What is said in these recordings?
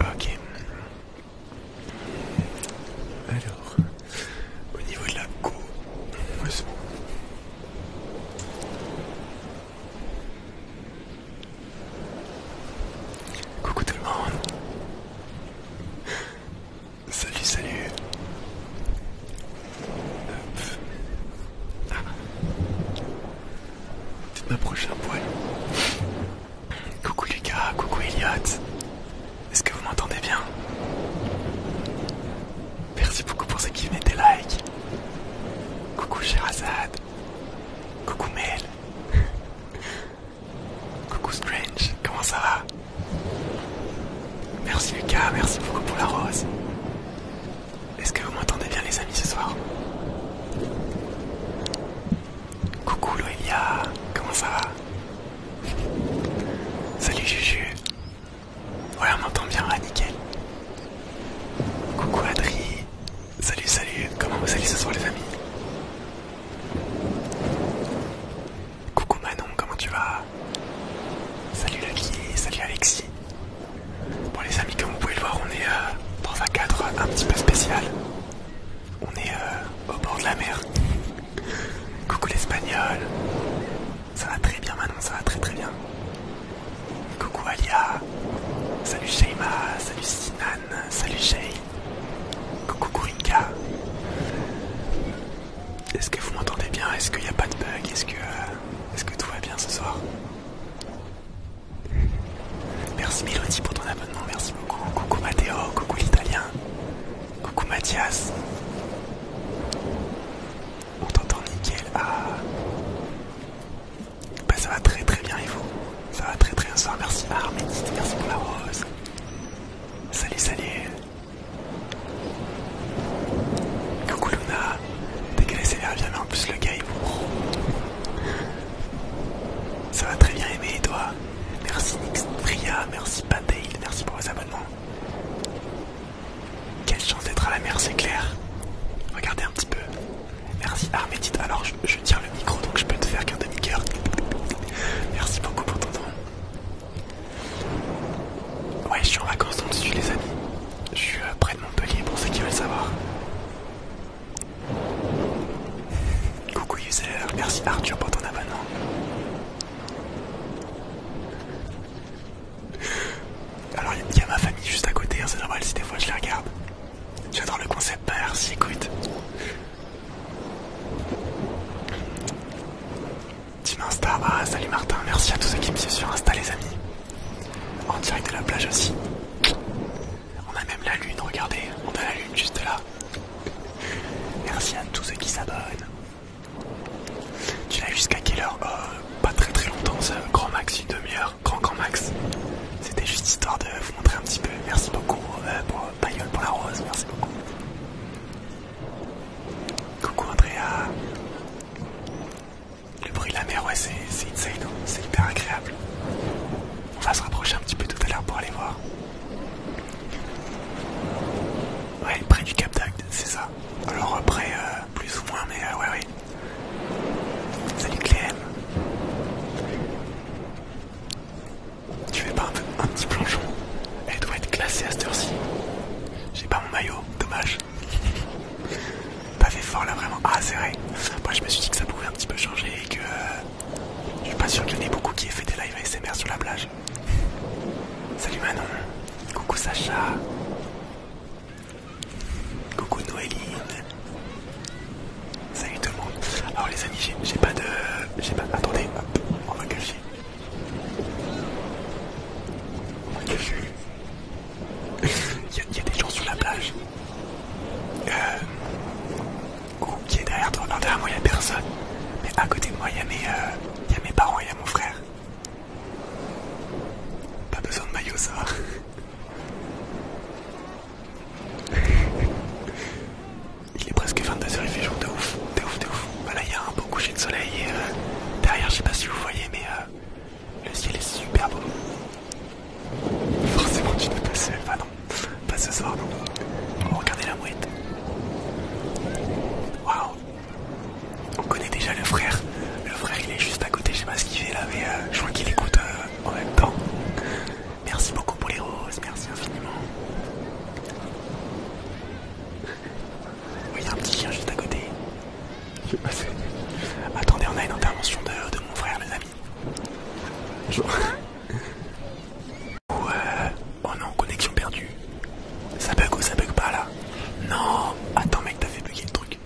Ok. Alors, au niveau de la cou. Coucou tout le monde. Salut, salut peut un poil. Coucou Lucas, coucou Elliot. Est-ce que vous m'entendez bien Merci beaucoup pour ceux qui venaient des likes. Coucou Azad. Coucou Mel. coucou Strange, comment ça va Merci Lucas, merci beaucoup pour la rose. Est-ce que vous m'entendez bien les amis ce soir Coucou Loelia, comment ça va Salut Juju. Ouais on m'entend bien, nickel. Coucou Adri. Salut, salut. Comment vous allez ce soir les amis Coucou Manon, comment tu vas Salut Lucky, salut Alexis. Bon les amis, comme vous pouvez le voir, on est dans un cadre un petit peu spécial. On est euh, au bord de la mer. Coucou l'espagnol. Ça va très bien Manon, ça va très très bien. Coucou Alia. Salut Sheima, salut Sinan, salut Shay. Coucou Rinka Est-ce que vous m'entendez bien Est-ce qu'il n'y a pas de bug Est-ce que, euh, est-ce que tout va bien ce soir Merci Mélodie pour ton abonnement, merci beaucoup. Coucou Matteo, coucou l'italien. Coucou Mathias. On t'entend nickel. Ah. Bah ça va très très bien et vous Ça va très très bien soir. Merci Armédite, merci pour la rose. Salut salut. Coucou Luna. Décalé c'est l'air bien mais en plus le gars il vous... Ça va très bien aimer toi Merci Nixpria, merci Pandail, merci pour vos abonnements. Quelle chance d'être à la mer, c'est clair. Regardez un petit peu. Merci Armédite. Alors je, tire le micro donc je peux te faire qu'un demi-cœur. Merci beaucoup pour ton don. Ouais, je suis en vacances dans le les amis. Je suis euh, près de Montpellier pour ceux qui veulent savoir. Coucou user, merci Arthur pour ton abonnement. Alors il y a ma famille juste à côté, hein, c'est normal si des fois je les regarde. J'adore le concept merci, écoute. Team Insta, ah salut Martin, merci à tous ceux qui me suivent sur Insta les amis. En direct de la plage aussi. On a même la lune, regardez, on a la lune juste là. Merci à tous ceux qui s'abonnent. Tu l'as jusqu'à quelle heure oh, Pas très très longtemps, grand max, une demi-heure, grand grand max. C'était juste histoire de vous montrer un petit peu. Merci beaucoup euh, pour pour la rose, merci beaucoup. Coucou Andrea. Le bruit de la mer, ouais, c'est insane, hein. c'est hyper agréable. On va se rapprocher un petit peu tout à l'heure pour aller voir. Ouais, près du Cap d'Acte, c'est ça. Alors près, euh, plus ou moins, mais euh, ouais, ouais. Salut Clem. Tu fais pas un, petit plongeon Elle doit être glacée à cette heure-ci. J'ai pas mon maillot, dommage. Pas fait fort là vraiment. Ah c'est vrai. Moi je me suis dit que ça pouvait un petit peu changer et que euh, je suis pas sûr qu'il y en ait beaucoup qui aient fait des lives ASMR sur la plage. Salut Manon. Coucou Sacha. Coucou Noéline. Salut tout le monde. Alors les amis, j'ai pas de... J'ai pas... Attendez, hop, on va cacher. On va il y, a des gens sur la plage. Euh, Ou qui est derrière toi Non, derrière moi, il a personne. Mais à côté de moi, il y, a mes euh, parents, et y a mon frère. Pas besoin de maillot, ça Il est presque 22h, il fait jour de ouf, de ouf, de ouf. Voilà, bah il y a un beau coucher de soleil euh, derrière, je sais pas si vous voyez, mais euh, le ciel est super beau. Forcément tu n'es pas seul, enfin non, pas ce soir non. regardez la mouette. Waouh On connaît déjà le frère. Le frère il est juste à côté, je sais pas ce qu'il fait là, mais euh, je vois qu'il écoute euh, en même temps. Merci beaucoup pour les roses, merci infiniment. Oui, il y a un petit chien juste à côté. Attendez, on a une intervention de, mon frère, les Ouais, Ouais. Oh non, connexion perdue. Ça bug ou ça bug pas là Non Attends mec, t'as fait bugger le truc.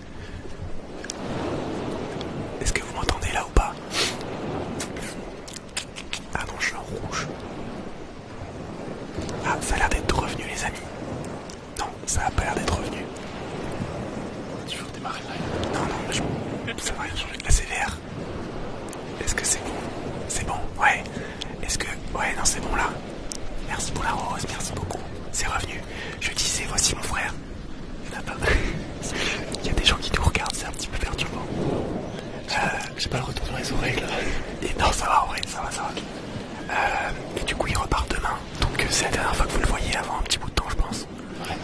Est-ce que vous m'entendez là ou pas Ah non, je suis rouge. Ah, ça a l'air d'être revenu les amis. Non, ça a pas l'air d'être revenu. Non, non, ça va rien changer. La CVR. Est-ce que c'est bon C'est bon, ouais. Est-ce que... Ouais, non, c'est bon là. Merci pour la rose, merci beaucoup. C'est revenu. Je disais, voici mon frère. Il y a pas des gens qui nous regardent, c'est un petit peu perturbant. Euh, J'ai pas le retour dans les oreilles là. Et non, ça va, en ça va, ça va. Euh, et du coup, il repart demain. Donc, c'est la dernière fois que vous le voyez avant un petit bout de temps, je pense. Ouais.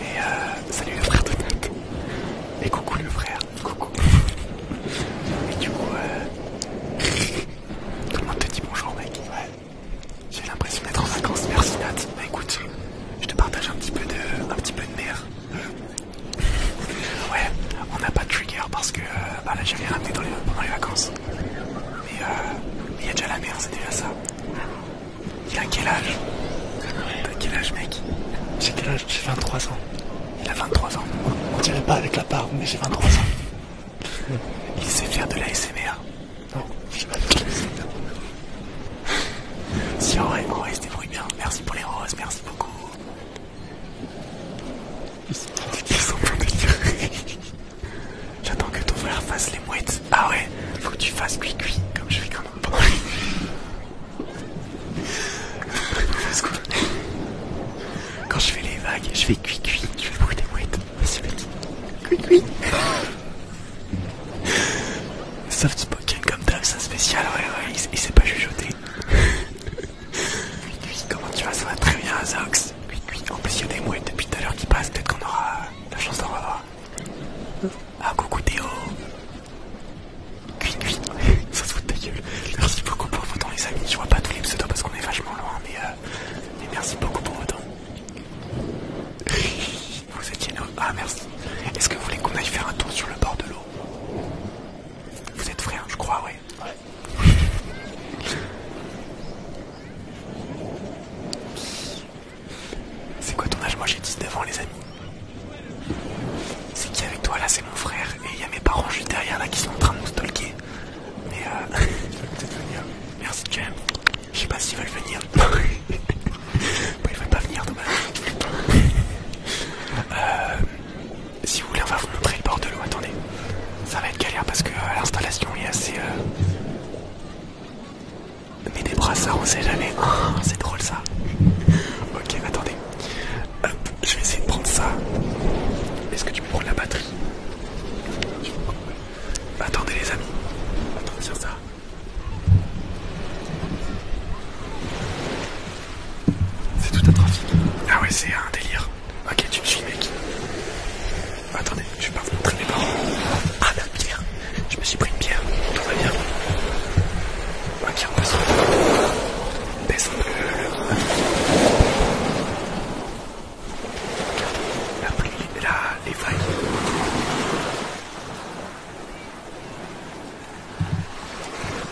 Et euh, salut le frère de Et coucou le frère. Coucou. Et du coup, euh... tout le monde te dit bonjour mec. Ouais. J'ai l'impression d'être en vacances. Merci Nat. Bah écoute, je te partage un petit peu de, un petit peu de mer. Euh, ouais, on n'a pas de trigger parce que euh, bah là ramené pendant les vacances. Euh, mais il y a déjà la mer, c'était déjà ça. Il a quel âge T'as quel âge, mec J'ai quel âge J'ai 23 ans. Il a 23 ans. On dirait pas avec la part, mais j'ai 23 ans. Il sait faire de l'ASMR. Non, pas de l'ASMR. Si, en vrai, en vrai, c'était bien. Merci pour les roses, merci beaucoup. Ils sont en J'attends que ton frère fasse les mouettes. Ah ouais, faut que tu fasses cuicui, comme je fais quand même. pas. quand je fais les vagues, je fais cuicui, je Tu fais beaucoup des mouettes. C'est petit. Cuit-cuit. Soft spoken comme d'hab, ça spécial. Ouais, ouais, il, s'est pas chuchoté. cuit comment tu vas Ça va très bien, Zox. Cui cuit En plus, il y a des mouettes depuis tout à l'heure qui passent. Peut-être qu'on aura la chance d'en revoir. Ah coucou Théo Cui Ça se fout de ta gueule Merci beaucoup pour vos temps les amis Je vois pas tous les pseudos parce qu'on est vachement loin mais, euh, merci beaucoup pour vos temps Vous étiez là Ah merci Est-ce que vous voulez qu'on aille faire un tour sur le bord de l'eau Vous êtes frère je crois ouais Ouais c'est quoi ton âge Moi j'ai 19 ans les amis. C'est qui avec toi là C'est mon frère et il y a mes parents juste derrière là qui sont en train de nous stalker. Mais euh... peut-être venir. Merci James. Je sais pas s'ils veulent venir. bah, ils veulent pas venir dommage. euh... Si vous voulez on va vous montrer le bord de l'eau. Attendez. Ça va être galère parce que euh, l'installation est assez... Euh, mais des ça, on sait jamais. Oh, c'est drôle ça. Ok, attendez. Hop, je vais essayer de prendre ça. Est-ce que tu peux la batterie Attendez les amis. Attendez sur ça. C'est tout un trafic. Ah ouais, c'est un délire. Ok, tu me suis mec. Attendez, je vais pas vous mes parents. Ah la pierre Je me suis pris une pierre tout va bien. Ma bière passe. Baisse un peu le... La pluie, la... les vagues.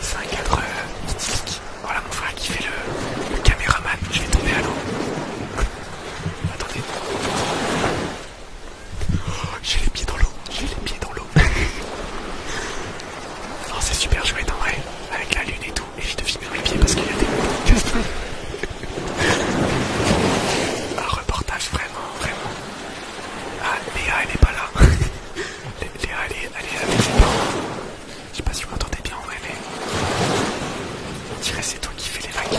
C'est un cadre euh, Voilà mon frère qui fait le, le caméraman. Je vais tomber à l'eau. Attendez. J'ai les pieds dans l'eau, j'ai les pieds dans l'eau. non, oh, c'est super joué en vrai, avec la lune et tout. et je de filmer les pieds parce qu'il y a des. Un reportage vraiment, vraiment. Ah, Léa, elle est pas là. Léa, elle est, elle est Je sais pas si vous m'entendez bien en vrai, mais. Je c'est toi qui fais les vagues.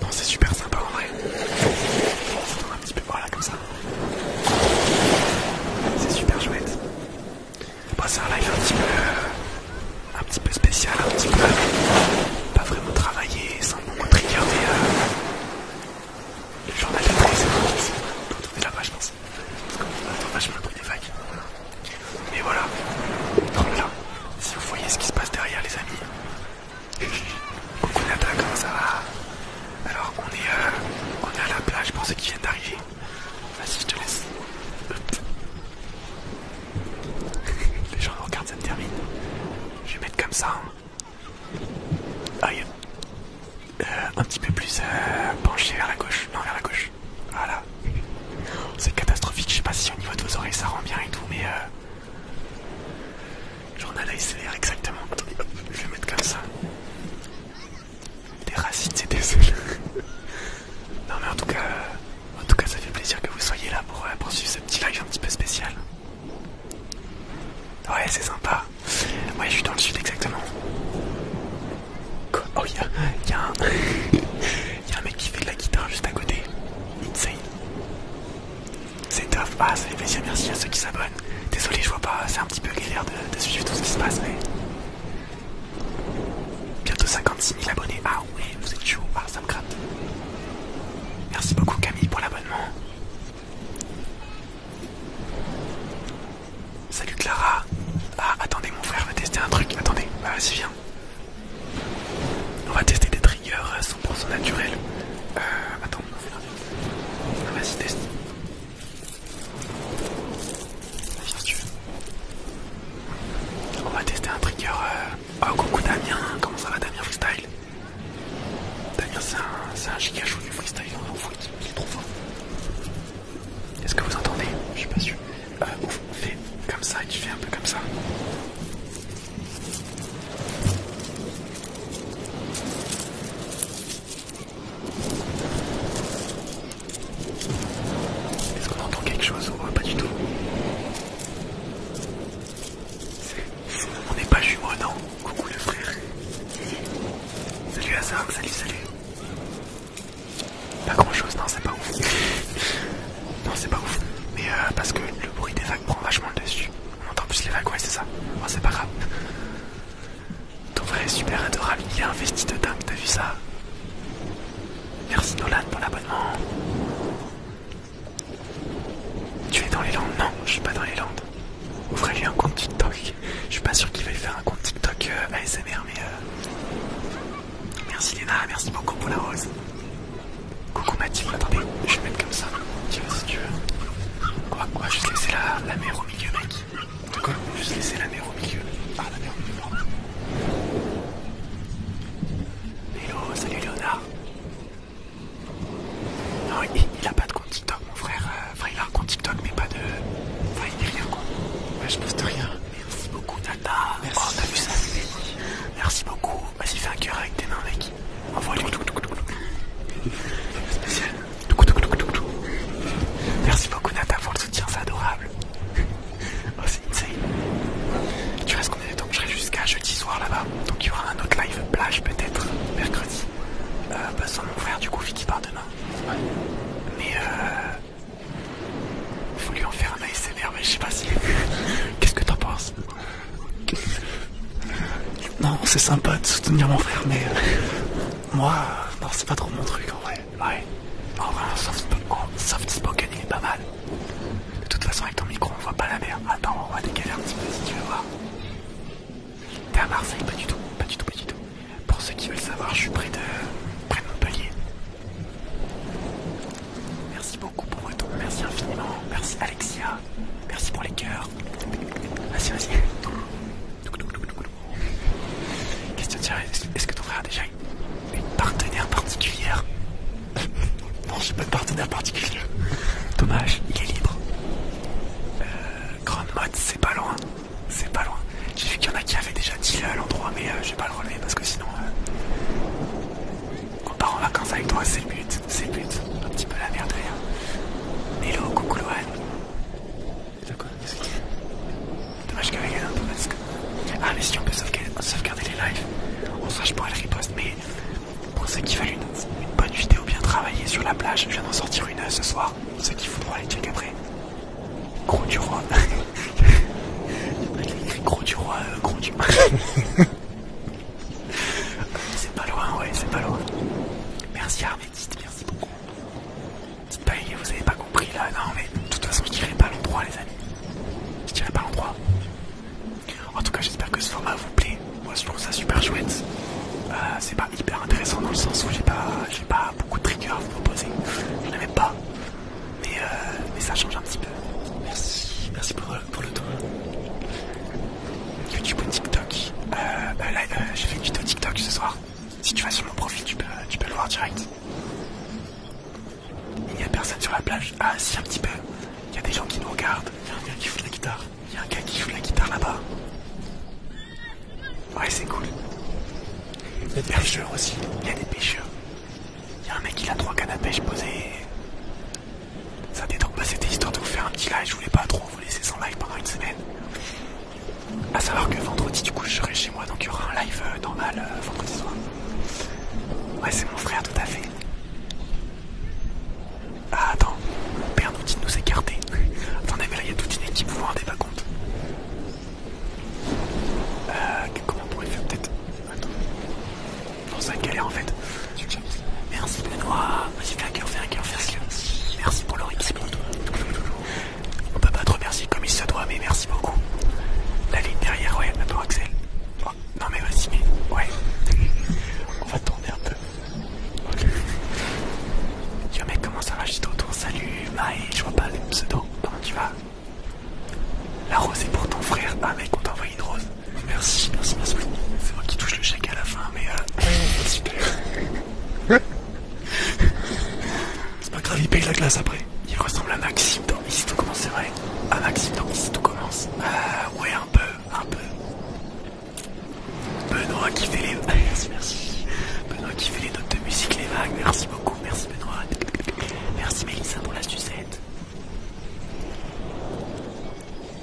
Non, c'est super sympa en vrai. On Attends un petit peu, voilà, comme ça. C'est super chouette. c'est un live un petit peu, euh, un petit peu spécial, un petit peu pas vraiment travaillé, sans beaucoup trigger euh, le journal de presse. on peut trouver là-bas, je pense. Parce qu'on attend des vagues. Mais voilà, si vous voyez ce qui se passe derrière les amis. Coucou ça va Alors on est, euh, on est à la plage pour ceux qui viennent d'arriver. Vas-y je te laisse. Les gens regardent, ça me termine. Je vais mettre comme ça. Hein. Aïe. Euh, un petit peu plus euh, penché vers la gauche. Non vers la gauche. Voilà. C'est catastrophique, je sais pas si au niveau de vos oreilles ça rend bien et tout, mais Journal ACR, exactement. je vais mettre comme ça. Des racines et des ailes. non mais en tout cas, en tout cas ça fait plaisir que vous soyez là pour euh, suivre poursuivre ce petit live un petit peu spécial. Ouais c'est sympa. Ouais je suis dans le sud exactement. oh y'a y a un mec qui fait de la guitare juste à côté. Insane. C'est top. Ah, ça fait plaisir, merci à ceux qui s'abonnent. Désolé, je vois pas, c'est un petit peu galère de, suivre tout ce qui se passe, mais. Bientôt 56 000 abonnés. Ah, oui, vous êtes chaud. Ah, ça me gratte. Merci beaucoup, Camille, pour l'abonnement. Salut Clara. Ah, attendez, mon frère va tester un truc. Attendez, bah, euh, vas-y, viens. On va tester des triggers 100% naturels. Euh, attends, on va Vas-y, teste. On va tester un trigger. Euh, oh, coucou Damien, comment ça va Damien Freestyle Damien, c'est un, un giga du freestyle, on en fout, il est trop fort. Est-ce que vous entendez Je suis pas sûr. Euh, fais comme ça et tu fais un peu comme ça. Est-ce qu'on entend quelque chose ou pas du tout On n'est pas jumeaux, non Coucou le frère. Salut Hazard, salut, salut. Pas grand chose, non, c'est pas ouf. Non, c'est pas ouf. Mais euh, parce que le bruit des vagues prend vachement le dessus. On entend plus les vagues, ouais, c'est ça. Oh, c'est pas grave. Ton vrai super adorable. Il a investi de dingue, t'as vu ça Merci Nolan pour l'abonnement. Tu es dans les Landes Non, je suis pas dans les Landes. Ouvrez-lui un compte TikTok. Je suis pas sûr qu'il veuille faire un compte TikTok euh, ASMR, mais. Euh, merci Léna, merci beaucoup pour la rose. Coucou Mathilde, attendez, je vais mettre comme ça. Tu vois si tu veux. Quoi, quoi, juste laisser la, mer au milieu, mec. De quoi Juste laisser la mer au milieu. Ah, la mer au milieu, Hello, salut Léonard. Non, il, a pas de compte TikTok, mon frère. Euh, enfin, il a un compte TikTok, mais pas de. Enfin, il est rien, quoi. Ouais, je poste rien. Merci beaucoup, Tata. Merci. Oh, vu ça Merci beaucoup. Vas-y, fais un cœur avec tes mains, mec. Envoie-lui. Spécial. Merci beaucoup, Nata, pour le soutien, c'est adorable. Oh, c'est insane. Tu restes combien de temps Je serai jusqu'à jeudi soir là-bas. Donc, il y aura un autre live plage, peut-être, mercredi. Euh, bah, sans mon frère, du coup, Vicky part demain. Mais euh. Faut lui en faire un ASMR merde mais je sais pas si. Qu'est-ce que t'en penses Non, c'est sympa de soutenir mon frère, mais. Euh, moi, non, c'est pas trop mon truc en vrai. Ouais. En vrai, soft, spoken, il est pas mal. De toute façon, avec ton micro, on voit pas la mer. Attends, on va décaler un petit peu si tu veux voir. T'es à Marseille Pas du tout, pas du tout, pas du tout. Pour ceux qui veulent savoir, je suis près de, près de Montpellier. Merci beaucoup pour temps, merci infiniment. Merci Alexia, merci pour les cœurs. Vas-y, vas-y. Question de est-ce que ton frère a déjà une, partenaire particulière Non, j'ai pas de partenaire particulier. Dommage, il est libre. Grande euh, Grand mode, c'est pas loin. C'est pas loin. J'ai vu qu'il y en a qui avaient déjà dit à l'endroit, mais euh, je vais pas le relever parce que sinon. Euh, on part en vacances avec toi, c'est le but, c'est le but. Un petit peu la merde rien. Hello, coucou Lohan. T'as quoi quest que tu Dommage qu'avec un peu masque. Ah, mais si on peut sauvegarder, les lives, on sache je pourrais le mais pour ceux qui veulent une, bonne vidéo bien travaillée sur la plage, je viens d'en sortir une ce soir. Ceux qui voudront aller check après. Gros du roi. Hein. Il écrit gros du roi, euh, gros du c'est pas loin, ouais, c'est pas loin. Merci Armédiste, merci beaucoup. Dites pas, vous avez pas compris là, non mais de toute façon je tirais pas l'endroit les amis. Je tirais pas l'endroit. En tout cas j'espère que ce format vous plaît. Moi je trouve ça super chouette. Euh, c'est pas hyper intéressant dans le sens où j'ai pas, pas beaucoup de triggers à vous proposer. Je pas mais, euh, mais ça change un petit peu. Merci, merci pour, euh, le tour. YouTube ou TikTok. Euh, euh là, j'ai fait une vidéo TikTok ce soir. Si tu vas sur mon profil, tu peux, tu peux le voir direct. Il n'y a personne sur la plage. Ah, si, un petit peu. Il y a des gens qui nous regardent. Il y a un gars qui joue de la guitare. Il y a un gars qui joue de la guitare là-bas. Ouais, c'est cool. Il y a des pêcheurs aussi. Il y a des pêcheurs. Il y a un mec, qui a trois canapés, à pêche Ça détend pas, c'était histoire de vous faire un petit live. Je voulais pas trop vous laisser sans live pendant une semaine. A savoir que vendredi, du coup, je serai chez moi, donc il y aura un live euh, normal euh, vendredi soir. Ouais, c'est mon frère, tout à fait. Ah, attends, mon père nous dit de nous écarter. Attendez, mais là, il y a toute une équipe, vous vous rendez pas compte. Euh, comment on pourrait faire peut-être Attends dans sa galère en fait. Merci Benoît. Vas-y, fais un cœur, fais un cœur, Merci pour le rythme On peut pas te remercier comme il se doit, mais merci beaucoup. La ligne derrière, ouais, attends Axel. Oh, non mais vas-y, ouais. On va tourner un peu. Ok. Yo mec, comment ça va J'étais autour. Salut, Maï, je vois pas le pseudo. Comment tu vas la rose est pour ton frère. Ah mec, on t'a envoyé une rose. Merci, merci, merci. C'est moi qui touche le chèque à la fin, mais euh... Super. C'est pas grave, il paye la glace après. Il ressemble à Maxime dans Ici tout commence, c'est vrai. À Maxime dans Ici tout commence. Euh, ouais, un peu, un peu. Benoît qui fait les... merci, merci. Benoît qui fait les notes de musique, les vagues. Merci beaucoup, merci Benoît. Merci Mélissa pour la sucette.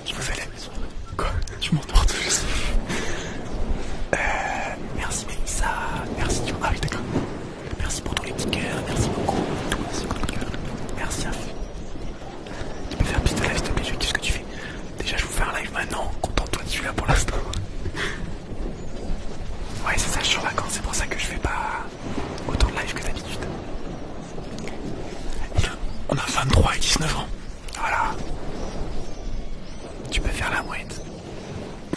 Je me fais la maison. Quoi Tu m'endors tout euh, merci Mélissa, merci Ah oui d'accord. Merci pour tous les petits cœurs, merci beaucoup. Tout, merci Merci à vous. Tu peux faire un de live s'il te plaît, qu'est-ce que tu fais Déjà je vous fais un live maintenant, contente-toi de celui-là pour l'instant. ouais c'est ça, je suis en vacances, c'est pour ça que je fais pas Autant de live que d'habitude. On a 23 et 19 ans. Voilà. Tu peux faire la mouette.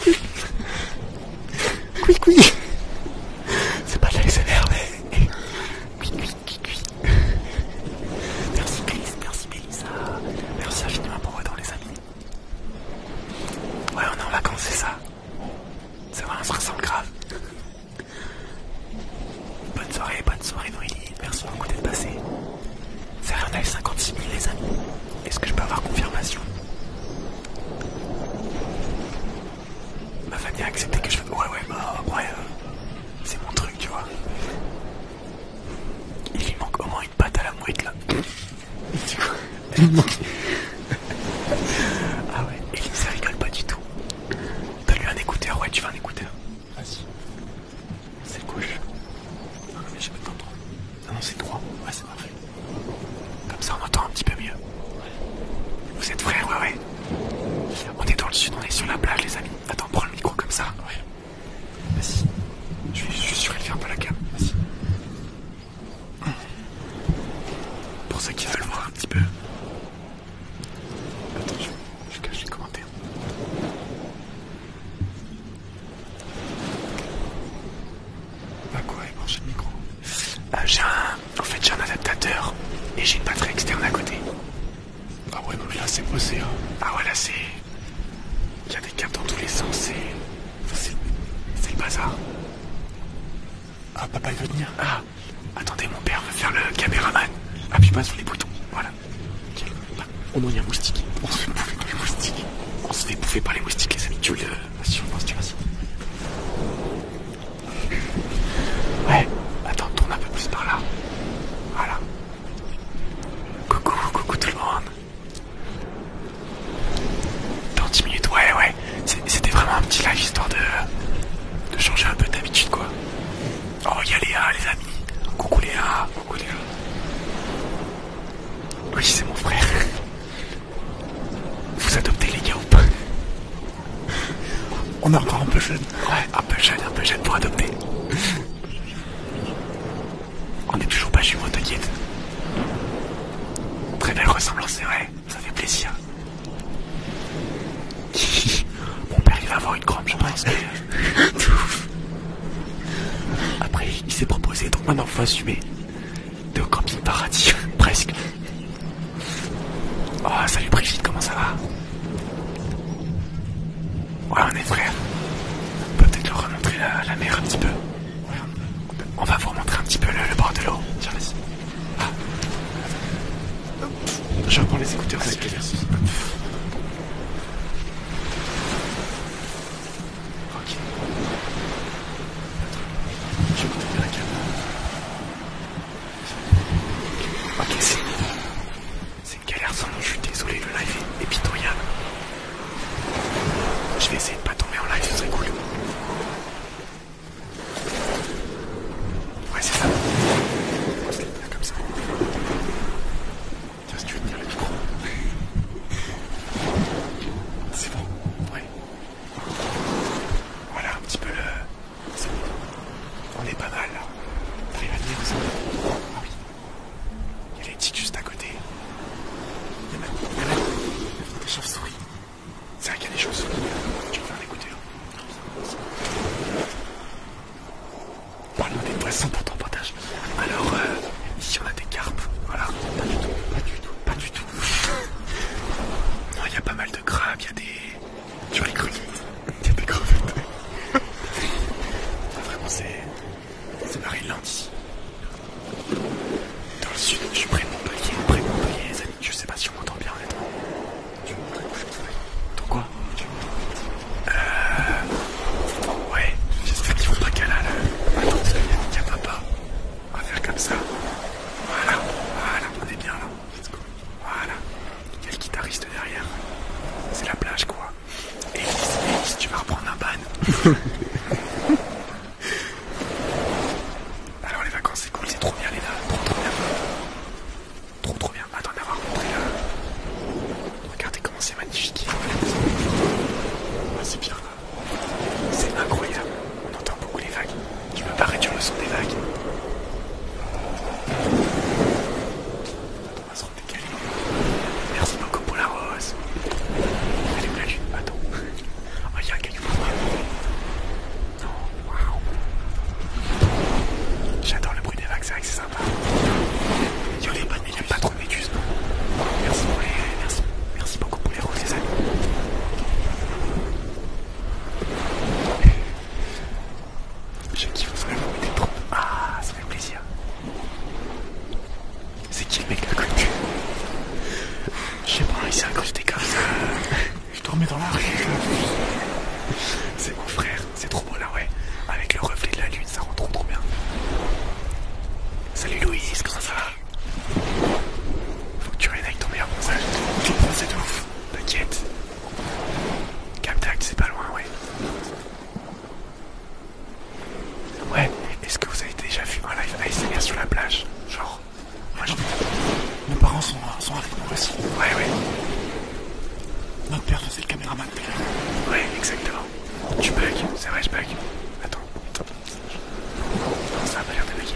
oui, C'est pas de la mais. Oui, oui, Merci Chris, merci Mélissa. Merci infiniment pour votre dans les amis. Ouais, on est en vacances, c'est ça. Ça va, on ressemble grave. Bonne soirée, bonne soirée Noélie. Merci beaucoup d'être passé. C'est rien on 56 000 les amis. Est-ce que je peux avoir confirmation Ma famille a accepté que je... Ouais, ouais, bah, ouais. Euh, c'est mon truc, tu vois. Il lui manque au moins une patte à la mouette là. ah ouais, Ellie, ça rigole pas du tout. T'as lui un écouteur, ouais, tu veux un écouteur. Vas-y. C'est gauche. Non, mais j'ai pas de droit. Ah non, c'est droit. Ouais, c'est parfait. Comme ça, on entend un petit peu mieux. Vous êtes frères, ouais, ouais. On est dans le sud, on est sur la plage, les amis. Attends, prends le micro comme ça. Ouais. Vas-y. Je suis sur le surélever un la cam. Vas-y. Pour ceux qui veulent voir un petit peu. Attends, je, cache les commentaires. Bah quoi, il mangeait le micro. Bah, j'ai un... En fait, j'ai un adaptateur et j'ai une batterie externe à côté. Ah ouais, non mais là c'est posé. Hein. Ah ouais, là c'est... Il y a des câbles dans tous les sens, c'est... C'est le bazar. Ah, papa il veut venir. Ah. Ah, attendez, mon père va faire le caméraman. Appuie pas sur les boutons. Voilà. On bah, au moins, a un moustique. On se fait bouffer par les moustiques. On se fait bouffer par les moustiques, les amis. Tu le. Hein, ouais, attends, tourne un peu plus par là. Voilà. Coucou, coucou tout le monde. Dans 10 minutes, ouais, ouais, c'était vraiment un petit live histoire de, changer un peu d'habitude quoi. Oh, il y a Léa, les amis. Coucou Léa, coucou Léa. Oui, c'est mon frère. Vous adoptez les gars ou pas On est encore un peu jeune. Ouais, un peu jeune, un peu jeune pour adopter. On n'est toujours pas jumeaux, t'inquiète. Très belle ressemblance, c'est vrai ça fait plaisir. Mon père il va avoir une crampe, j'en pense. Euh, Après, il s'est proposé, donc maintenant faut assumer. De camping paradis, presque. Oh, salut Brigitte, comment ça va Ouais, on est frère. On peut peut-être leur remontrer la, mer un petit peu. on va vous remontrer un petit peu le, bord de l'eau. Tiens, vas je reprends les écouteurs, c'est plaisir. Ok. Je vais continuer la Ok, c'est... une galère sans nous je suis désolé, le live est pitoyable. Je vais essayer de pas tomber en live, ce serait cool. Ouais, c'est ça. On se les comme ça. Tiens, si tu veux tenir le micro. C'est bon, ouais. Voilà un petit peu le. On est pas mal là. T'arrives à tenir ça Ah oui. Il y a les tics juste à côté. Il y même. Il a des chauves-souris. C'est vrai qu'il y a des choses. tu peux faire écouter. Hein Parle-nous des poissons pour ton partage. Alors, euh, ici on a des carpes. Voilà. Pas du tout. Pas du tout. Pas du tout. non, il y a pas mal de crabes, il y a des. Tu vois les Il y a des crevettes. Ah, vraiment, c'est. C'est Marie-Land Dans le sud, je suis près de Montpellier. Près de Montpellier, je sais pas si on m'entend bien Tu honnêtement. T'entends quoi Euh... Ouais, j'espère qu'ils vont pas qu'à là. Attends, il y a papa. On va faire comme ça. Voilà, voilà, on est bien là. Voilà. Il y a le guitariste derrière. C'est la plage quoi. Et si tu vas reprendre un ban. Alors les vacances c'est cool, c'est trop bien les gars, trop trop bien. Trop trop bien, attends d'avoir montré là. Regardez comment c'est magnifique. Ah, c'est bien là. C'est incroyable. On entend beaucoup les vagues. Je me parais sur le son des vagues. on va se redécaler. Merci beaucoup pour la rose. Elle la lune, attends. Oh, y'a un caillou pour moi. Oh, waouh. J'adore le bruit des vagues, c'est vrai que c'est sympa. Yo les bonnes pas, pas trop de méduses. Merci, pour les, merci, beaucoup pour les rouges les amis. Je kiffe vraiment des troupes. Ah, ça fait plaisir. C'est qui le mec de la couture Je sais pas, il s'est incrusté comme ça. Je dormais dans la C'est mon frère, c'est trop beau là, ouais. Avec le reflet de la lune, ça rend trop trop bien. Salut Louise, comment ça va Faut que tu règnes avec ton meilleur bronzage. c'est de ouf, t'inquiète. Captac, c'est pas loin, ouais. Ouais, est-ce que vous avez déjà vu un live ASMR sur la plage Genre, moi, Nos parents euh, sont, avec nous aussi. Ouais, ouais. Notre père faisait le caméraman t'es exactement. Tu bug, c'est vrai, je bug. Attends, Non, ça a pas l'air de bugger.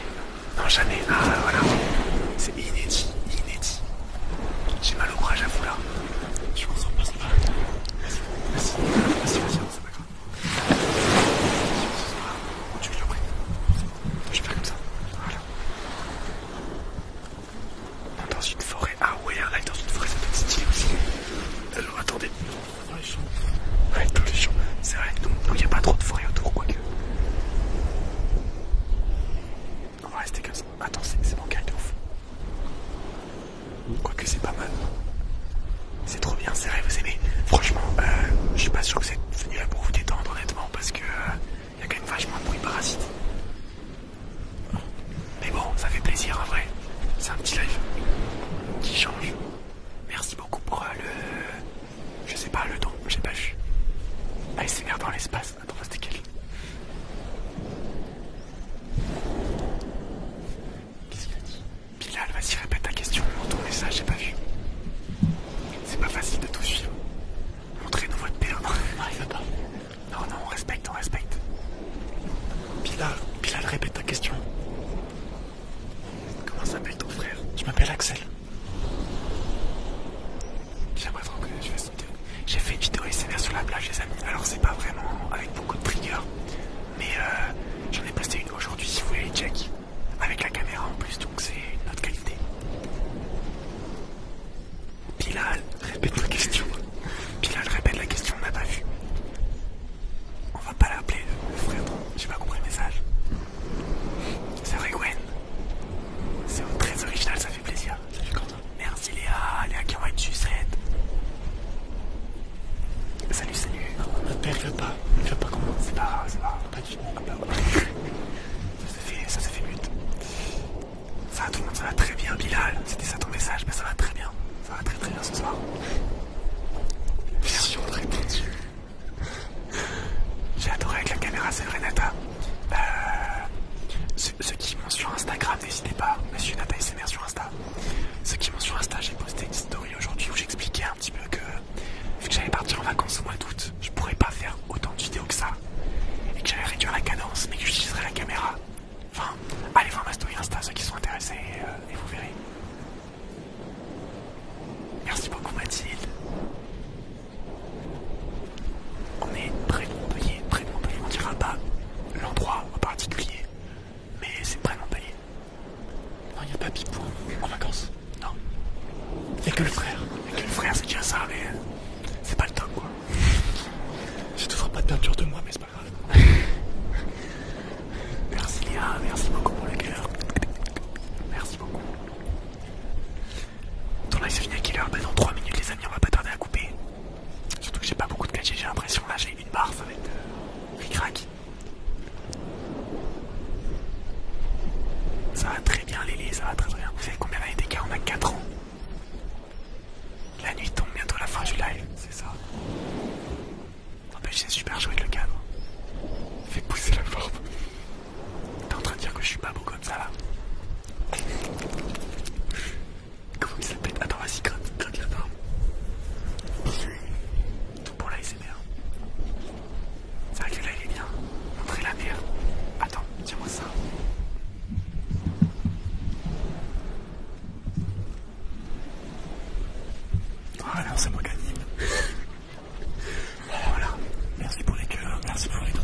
Non, jamais. Ah, voilà. C'est inédit, inédit. J'ai mal au bras, j'avoue là. Je m'en en pas, ça y Vas-y, vas-y, vas-y, vas-y, c'est je fais comme ça. Voilà. dans une forêt. Ah ouais, là est dans une forêt, ça peut être stylé aussi. Alors attendez. les Ouais, dans les C'est vrai, donc il n'y a pas trop de forêt autour, quoique. On va rester comme ça. Attends, c'est mon carré de ouf. Quoique c'est pas mal. C'est trop bien, c'est vrai, vous aimez. Franchement, euh, je suis pas sûr que vous êtes venu là pour vous détendre honnêtement, parce que il euh, y a quand même vachement de bruit parasite. Mais bon, ça fait plaisir en vrai. C'est un petit live qui change. Merci beaucoup pour euh, le. Je sais pas, le don, j'ai pas vu. Ah, il s'énerve dans l'espace. Attends, c'était quel Qu'est-ce qu'il a dit Bilal, vas-y, répète ta question. Ton message, j'ai pas vu. C'est pas facile de tout suivre. Montrez-nous votre père. Non, il pas. Non, non, on respecte, on respecte. Bilal, Bilal, répète ta question. Comment s'appelle ton frère Je m'appelle Axel. J'aimerais trop que je une J'ai fait une vidéo SNR sur la plage, les amis. Alors, c'est pas vraiment avec beaucoup de triggers. Mais euh, j'en ai posté une aujourd'hui si vous voulez les check avec la caméra en plus, donc c'est une autre qualité. Pilal, répète la question. Pilal, répète la question, on n'a pas vu. On va pas l'appeler Je frère, j'ai pas compris le message. C'est vrai Gwen. C'est très original, ça fait plaisir. Ça fait content. Merci Léa, Léa qui envoie une sucette. Salut, salut. ne perds pas, ne fais pas comment. C'est pas grave, c'est pas grave. Ah bah ça s'est fait, ça fait mute. Ça va tout le monde, ça va très bien Bilal, c'était ça ton message, mais bah ça va très bien. Ça va très très bien ce soir. Version très tendue. J'ai adoré avec la caméra, c'est vrai Nata. Euh, ceux, qui m'ont sur Instagram, n'hésitez pas, monsieur Nata SMR sur Insta. Ceux qui m'ont sur Insta, j'ai posté une story aujourd'hui où j'expliquais un petit peu que vu que j'allais partir en vacances au mois d'août, je pourrais pas faire autant de vidéos que ça. Et que j'allais réduire la cadence, mais que j'utiliserais la caméra. Enfin, allez voir ma story Insta, ceux qui sont intéressés, et euh, vous verrez. Merci beaucoup Mathilde. On est près de Montpellier, près de Montpellier, on dira pas l'endroit en particulier, mais c'est près de Montpellier. Non, il n'y a pas pipo hein. en vacances. Non. Il que le frère. Il que le frère, c'est déjà ça, mais c'est pas le top quoi. Je te ferai pas de peinture de moi, mais c'est pas grave. merci Léa, merci beaucoup pour le cœur. Merci beaucoup. Ton live c'est fini à quelle heure bah, dans 3 minutes les amis, on va pas tarder à couper. Surtout que j'ai pas beaucoup de gadgets, j'ai l'impression là j'ai une barre, ça va être... Euh, rac. Ça va très bien Lily, ça va très bien. Vous savez combien d'années d'écart On a 4 ans. La nuit tombe bientôt la fin du live, c'est ça. N'empêche, c'est super jouer avec le cadre. Fais pousser la porte. T'es en train de dire que je suis pas beau comme ça là Comment ça s'appelle Attends, vas-y, gratte, gratte la barbe. Tout pour laisser. C'est vrai que là il est bien. Montrez la merde. Attends, tiens-moi ça. Ah Voilà, c'est moi Voilà, merci pour les cœurs, merci pour les dons.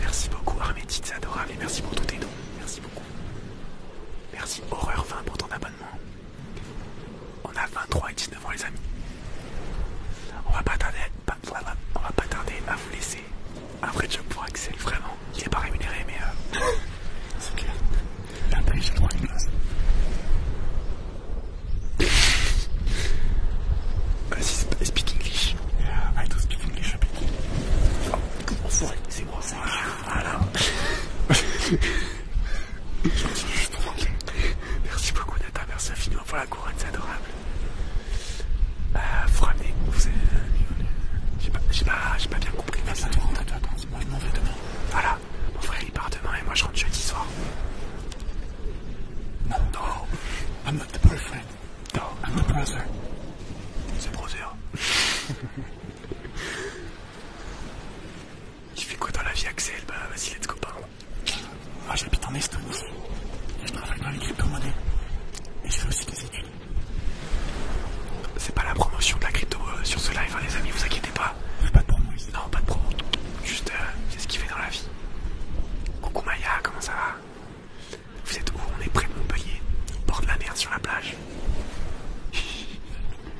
Merci beaucoup Armétite, c'est adorable et merci pour tous tes dons. Merci beaucoup. Merci Horreur 20 pour ton abonnement. On a 23 et 19 ans les amis. On va pas tarder, à... vous laisser. Un vrai job pour Axel, vraiment. Il est pas rémunéré mais... Euh, c'est clair. Après j'ai droit à une place. Speak English. I don't speak English c'est moi, ça. Voilà. Merci beaucoup Nathan, merci infiniment Voilà, la couronne, c'est adorable. Ah, vous ramenez, vous avez... Euh, j'ai pas, pas, pas, bien compris. Vas-y, attends, rentre, attends. toi. Moi, je m'en vais demain. Voilà, mon frère il part demain et moi je rentre jeudi soir. Non. Non. I'm not the perfect. No. I'm the brother. C'est brother. Tu fais quoi dans la vie, Axel Bah, vas-y, let's go, parle. Moi, j'habite en Estonie. je travaille dans les crypto-monnaies. Et je fais aussi des études. C'est pas la promotion de la crypto euh, sur ce live, hein, les amis, vous inquiétez pas. Pas de promo ici. Non, pas de promo. Juste, euh, c'est ce qu'il fait dans la vie. Coucou Maya, comment ça va Vous êtes où On est près de Montpellier, bord de la mer sur la plage.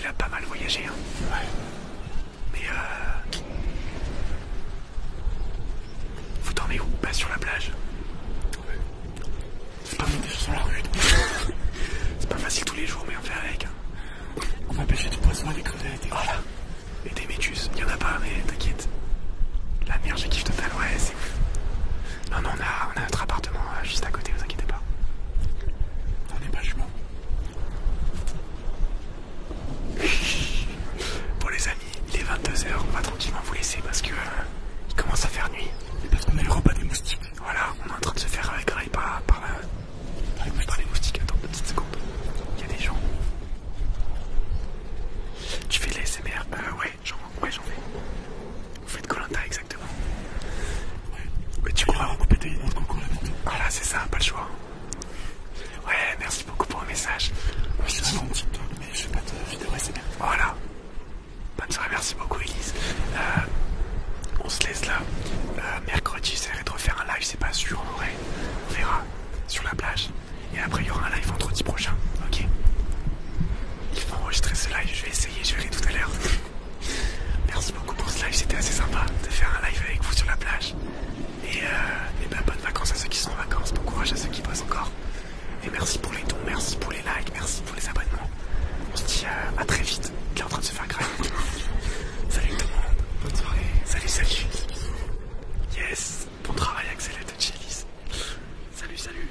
il a pas mal voyagé. Hein. Ouais. Mais euh... Vous dormez où Pas sur la plage ouais. C'est pas, pas facile tous les jours, mais on fait avec. Hein. On va pêcher du poisson avec crevettes. Voilà. Et des métus, il y en a pas, mais t'inquiète. La mer, j'ai kiff total, ouais, c'est Non, non, on a, on a notre appartement euh, juste à côté, vous inquiétez pas. On est pas jumeaux. Bon les amis, il est 22h, on va tranquillement vous laisser parce que euh, il commence à faire nuit. parce qu'on a le repas des moustiques. Voilà, on est en train de se faire griller par, euh, par, les moustiques. Attends une seconde. seconde, Il y a des gens. Tu fais les l'ASMR euh, Ouais, j'en ouais, fais. Vous faites Colinta exactement. Ouais. Mais tu crois recouper tes idées concours là Voilà, c'est ça, pas le choix. Ouais, merci beaucoup pour le message. je suis mais je fais pas de vidéo bien. Voilà. Bonne soirée, merci beaucoup Elise. Euh, on se laisse là. Euh, mercredi, j'essaierai de refaire un live, c'est pas sûr On verra sur la plage. Et après, il y aura un live vendredi prochain, ok Il faut enregistrer ce live, je vais essayer, je verrai tout à l'heure. Merci beaucoup pour ce live, c'était assez sympa de faire un live avec vous sur la plage. Et, euh, bonne bah, bonnes vacances à ceux qui sont en vacances, bon courage à ceux qui bossent encore. Et merci pour les dons, merci pour les likes, merci pour les abonnements. On se dit euh, à très vite, il est en train de se faire grave. salut tout le monde, bonne soirée, salut salut. Yes, bon travail Axelette, et Salut salut.